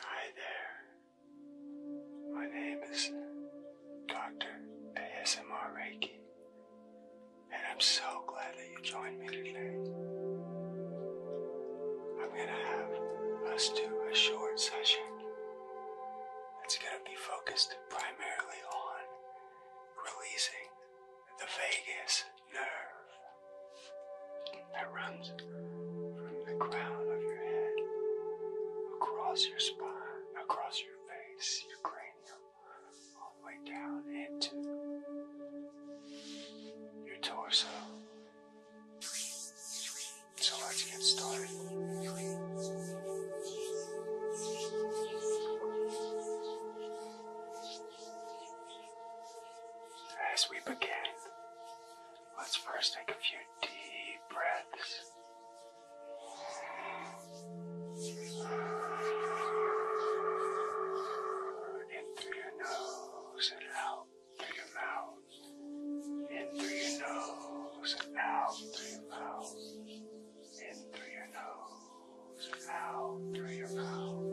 Hi there. My name is Dr. ASMR Reiki, and I'm so glad that you joined me today. I'm going to have us do a short session It's going to be focused primarily on releasing the vagus nerve that runs from the crown of your head across your spine, across your face, your cranium, all the way down into your torso. So let's get started. As we begin, let's first take a few deep breaths. In through your nose and out through your mouth. In through your nose and out through your mouth. In through your nose out through your mouth.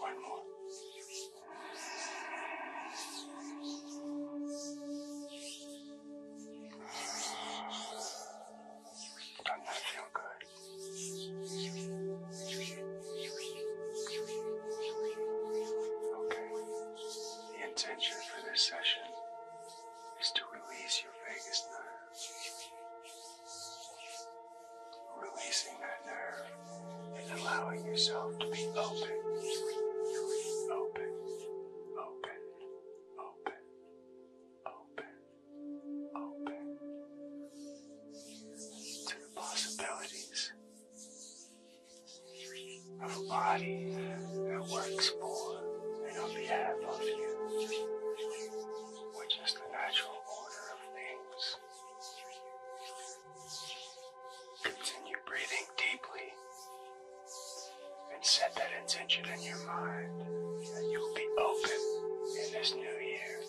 One more does that feel good? Okay. The intention for this session is to release your vagus nerve. Releasing that nerve and allowing yourself to be open. Open, open, open, open, open to the possibilities of a body that works for and on behalf of you, which is the natural order of things. Continue breathing deeply and set that intention in your mind that you will be open in this new year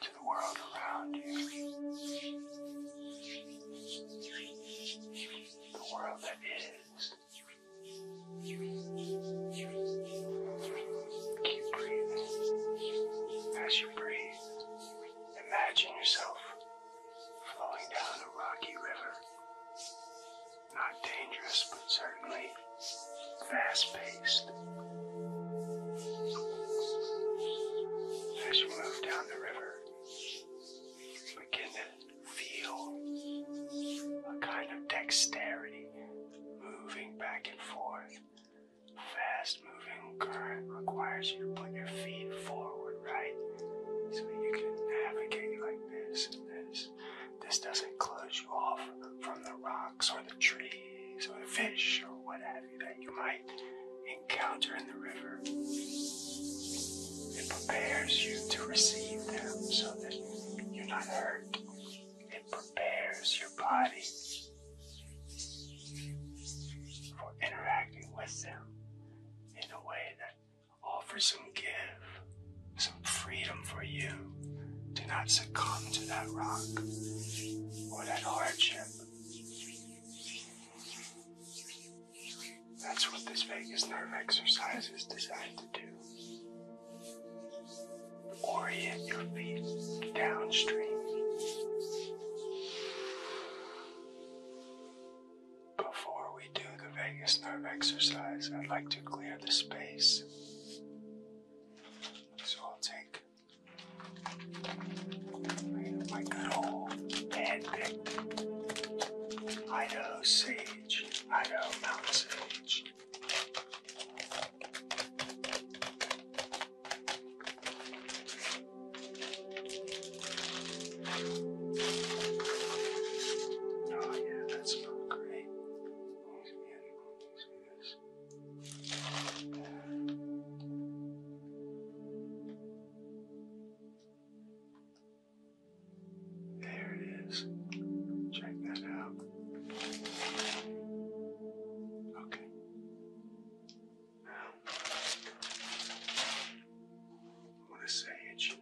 to the world around you, the world that is. Keep breathing. As you breathe, imagine yourself flowing down a rocky river. Not dangerous, but certainly fast paced. As you move down the river, you begin to feel a kind of dexterity moving back and forth. Fast moving current requires you to put your feet forward right? So you can navigate like this and this. This doesn't close you off from the rocks or the trees or the fish or what have you that you might encounter in the river. It prepares you to receive them so that you're not hurt. It prepares your body for interacting with them in a way that offers some give, some freedom for you. Do not succumb to that rock or that hardship. That's what this vagus nerve exercise is designed to do. Orient your feet downstream. Before we do the vagus nerve exercise, I'd like to clear the space. So I'll take my good old hand-picked Idaho sage, Idaho mountain sage. Oh, yeah, that smells great. Always There it is. Check that out. Okay. What a sage.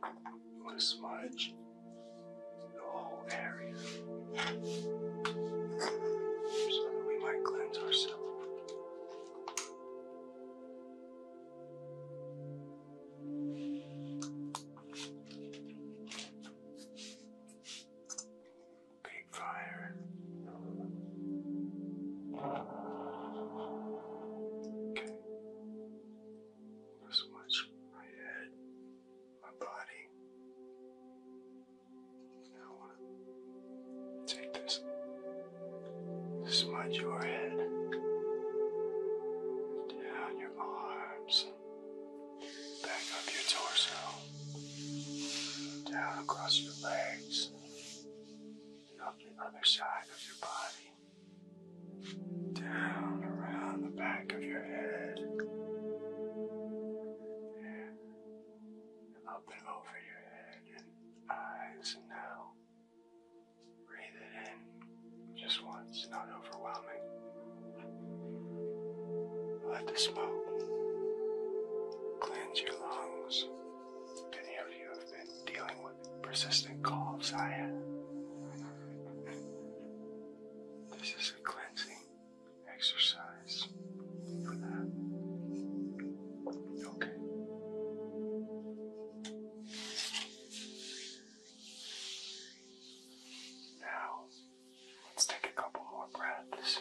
What a smudge. The whole area. So that we might cleanse ourselves. Big fire. Okay. Just watch my head, my body. I want to take this, smudge your head, down your arms, back up your torso, down across your legs up the other side of your body, down around the back of your head, and up and over your head and eyes. And now breathe it in just once, not overwhelming. Let the smoke cleanse your lungs. If of you have been dealing with what persistent coughs I had. This is a cleansing exercise Okay. Now, let's take a couple more breaths.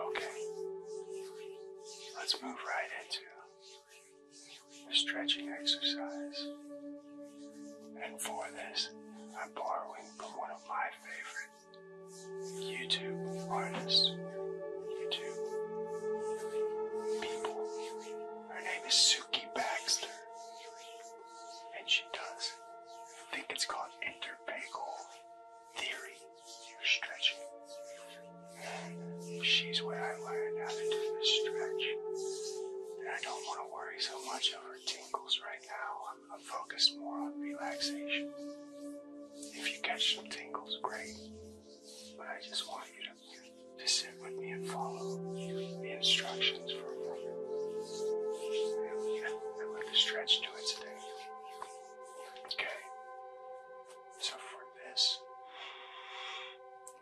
Okay. Let's move right into the stretching exercise. And for this, I'm borrowing from one of my favorite YouTube artists, YouTube people. Her name is Suki Baxter. And she does think it's called intervagal theory. Stretching. She's where I learned how to do the stretch. And I don't want to worry so much over tingles right now. I'm focused more on relaxation. If you catch some tingles, great. But I just want you to to sit with me and follow the instructions for a moment. I want to stretch to its today. Okay. So for this,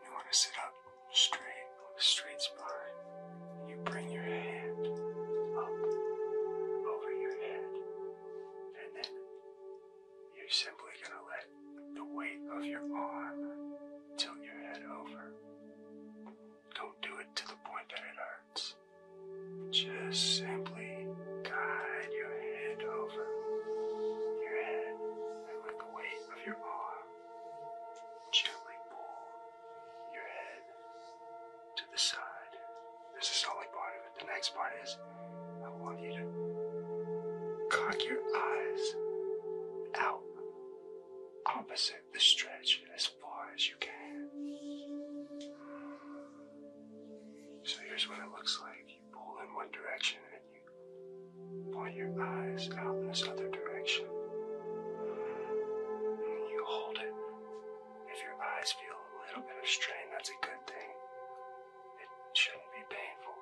you want to sit up straight, straight spine. You bring your hand up over your head and then you're simply going to let the weight of your arm tilt your head over. Don't do it to the point that it hurts. Just simply guide your head over your head and with the weight of your arm, gently pull your head to the side. This is only part of it. The next part is I want you to cock your eyes out opposite the stretch as far as you can. So here's what it looks like. You pull in one direction and you point your eyes out in this other direction. And you hold it. If your eyes feel a little bit of strain, that's a good thing. It shouldn't be painful,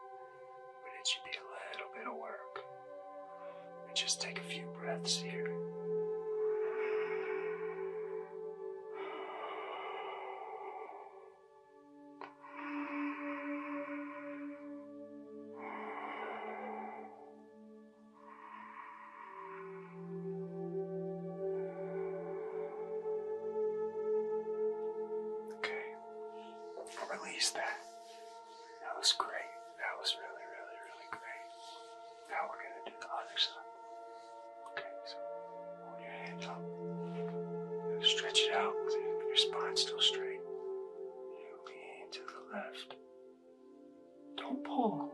but it should be a little bit of work. And just take a few breaths here. Okay, release that. That was great. That was really, really, really great. Now we're gonna do the other side. Okay, so hold your hand up. stretch it out your spine still straight. You lean to the left. Don't pull.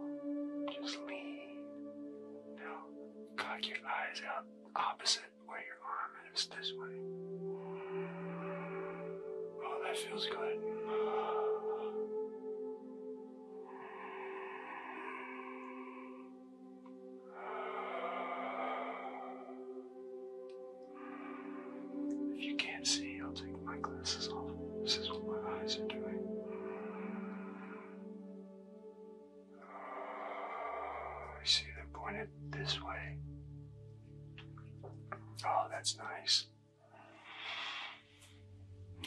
Just lean. Now cock your eyes out opposite it where your arm is this way. Oh, that feels good. If you can't see, I'll take my glasses off. This is what my eyes are doing. Oh, I see they're pointed this way. Oh, that's nice.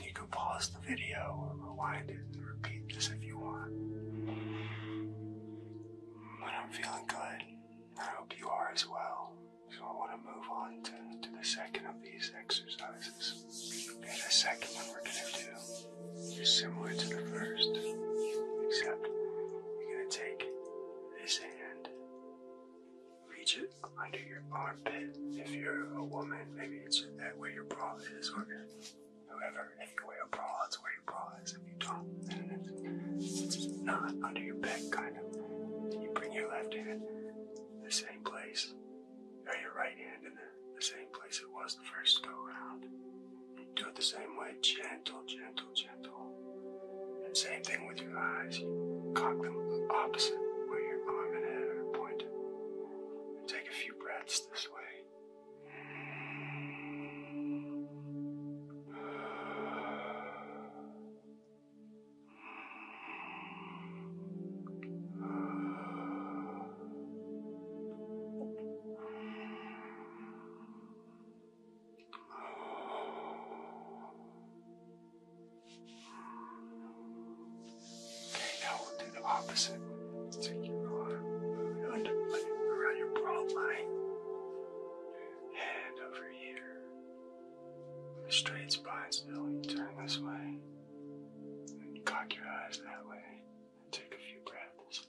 You can pause the video or rewind it and repeat this if you want. But I'm feeling good. I hope you are as well. So I want to move on to, to the second of these exercises. And the second one we're going to do is similar to the first, except you're going to take this hand, reach it under your armpit. If you're a woman, maybe it's that where your bra is, or whoever, if you wear a bra, it's where your bra is. If you don't, then it's not under your back, kind of. you bring your left hand the same place, or your right hand in the, the same place it was the first go around do it the same way, gentle, gentle, gentle. And same thing with your eyes. You cock them opposite where your arm and head are pointed. And take a few breaths this way. Okay, now we'll do the opposite. Take your arm and put around your brow line. Head over here. straight spine still. You turn this way. And cock your eyes that way. And take a few breaths.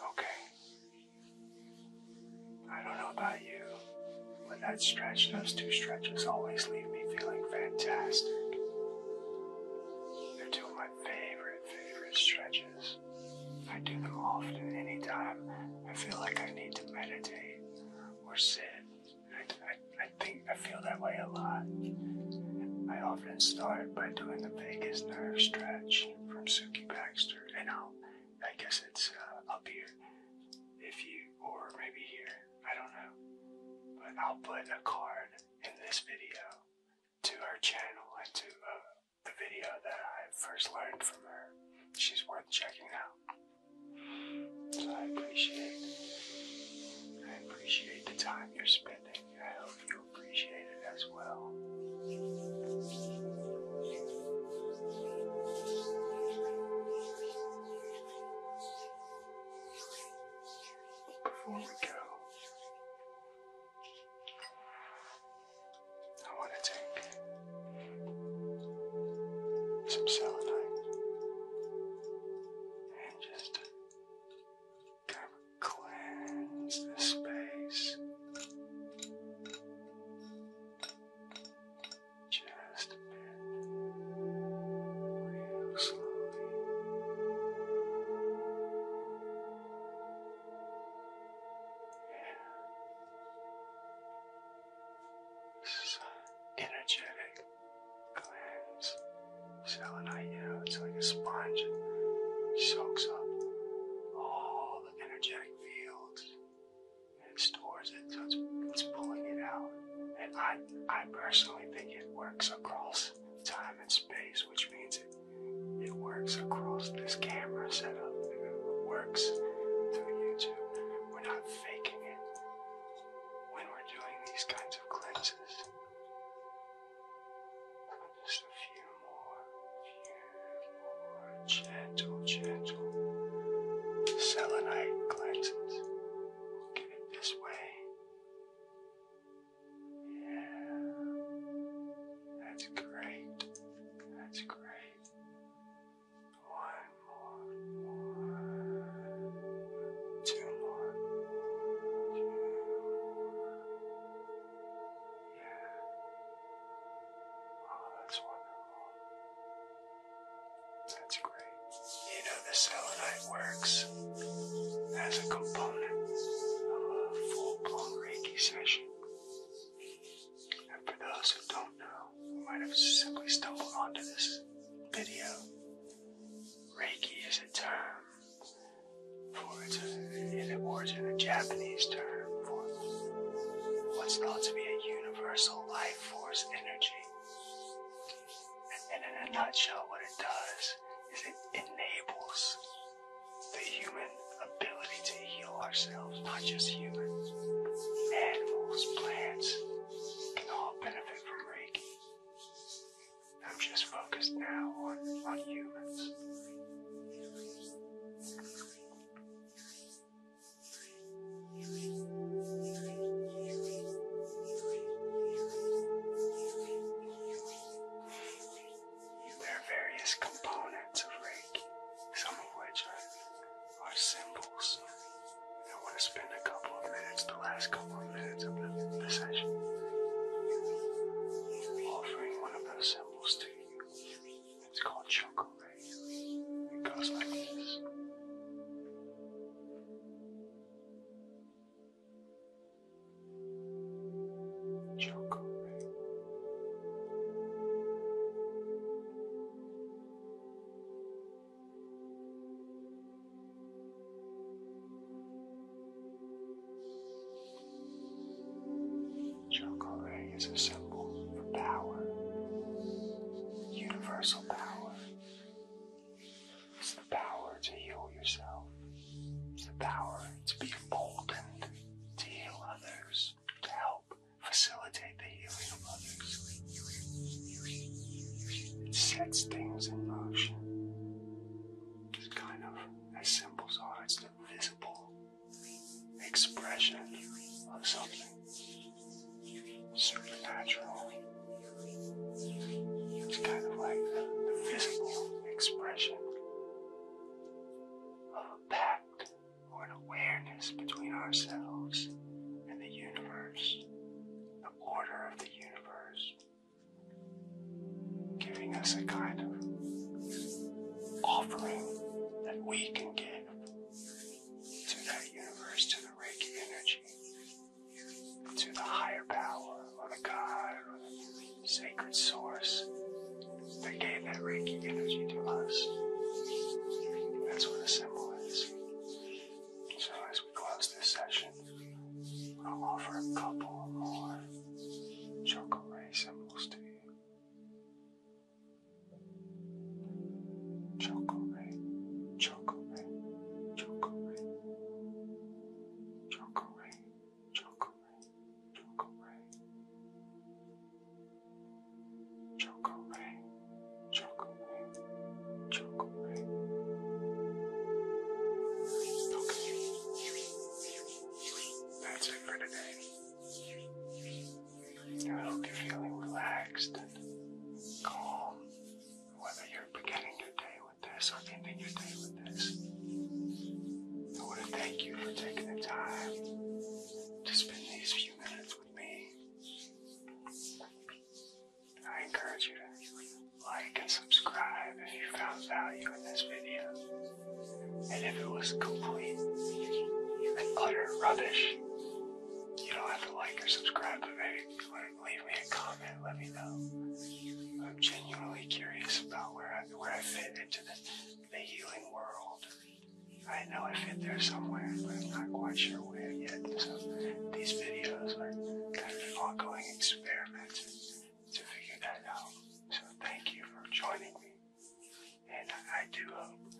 Okay. I don't know about you, but that stretch, those two stretches always leave me feeling fantastic. They're two of my favorite, favorite stretches. I do them often anytime I feel like I need to meditate or sit. I, I, think I feel that way a lot. I often start by doing the vagus nerve stretch from Suki Baxter, and I'll, I guess it's uh, up here, if you, or maybe here, I don't know. But I'll put a card in this video to her channel and to uh, the video that I first learned from her. She's worth checking out. So I appreciate I appreciate the time you're spending. I hope you appreciate it as well before we go, I want to take some selenite and just kind of cleanse the space. Just a bit. This energetic cleanse. Selenite, it's like a sponge. It soaks up all the energetic fields and stores it, so it's, it's pulling it out. And I, I personally think it works across time and space, which means it, it works across this camera setup. It works through YouTube. We're not faking it. When we're doing these kinds of cleanses, just a few more, few more gentle, gentle selenite cleanses. We'll get it this way. Yeah. That's great. That's great. One more. more. Two more. Yeah. Oh, that's wonderful. That's you know the selenite works as a component of a full-blown Reiki session. And for those who don't know, who might have simply stumbled onto this video, Reiki is a term for it's an origin, a Japanese term for what's thought to be a universal life force energy. And in a nutshell, what it does is it enables the human ability to heal ourselves, not just humans. Animals, plants can all benefit from Reiki. I'm just focused now on, on humans. There are various components of Reiki, some of which are, symbols. I want to spend a couple of minutes, the last couple of minutes of the, session, offering one of those symbols to you. It's called Choco Ray. Chocolate. Chocolate is a symbol for power, universal power. It's the power to heal yourself. It's the power to be emboldened, to heal others, to help facilitate the healing of others. It sets things in motion. It's kind of, as symbols are, oh, it's the visible expression of something supernatural. It's kind of like the physical expression of a pact or an awareness between ourselves and the universe, the order of the universe, giving us a kind of offering that we can give to that universe, to the Reiki energy to the higher power or the God or the sacred source that gave that Reiki energy to us. That's what the symbol is. So as we close this session, I'll offer a couple more chocolate ray symbols to you. Chocolate, chocolate, chocolate, Choke away, choke away, choke away. Choke away, choke away, choke away. Okay. That's it for today. I hope you're feeling relaxed and calm, whether you're beginning your day with I want to thank you for taking the time to spend these few minutes with me. I encourage you to like and subscribe if you found value in this video. And if it was complete and utter rubbish, you don't have to like or subscribe, but maybe you leave me a comment. Let me know. I'm genuinely curious about where I, where I fit into the, the healing world. I know I fit there somewhere, but I'm not quite sure where yet. So these videos are kind of an ongoing experiment to figure that out. So thank you for joining me. And I do hope,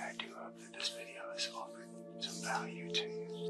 I do hope that this video is offering some value to you.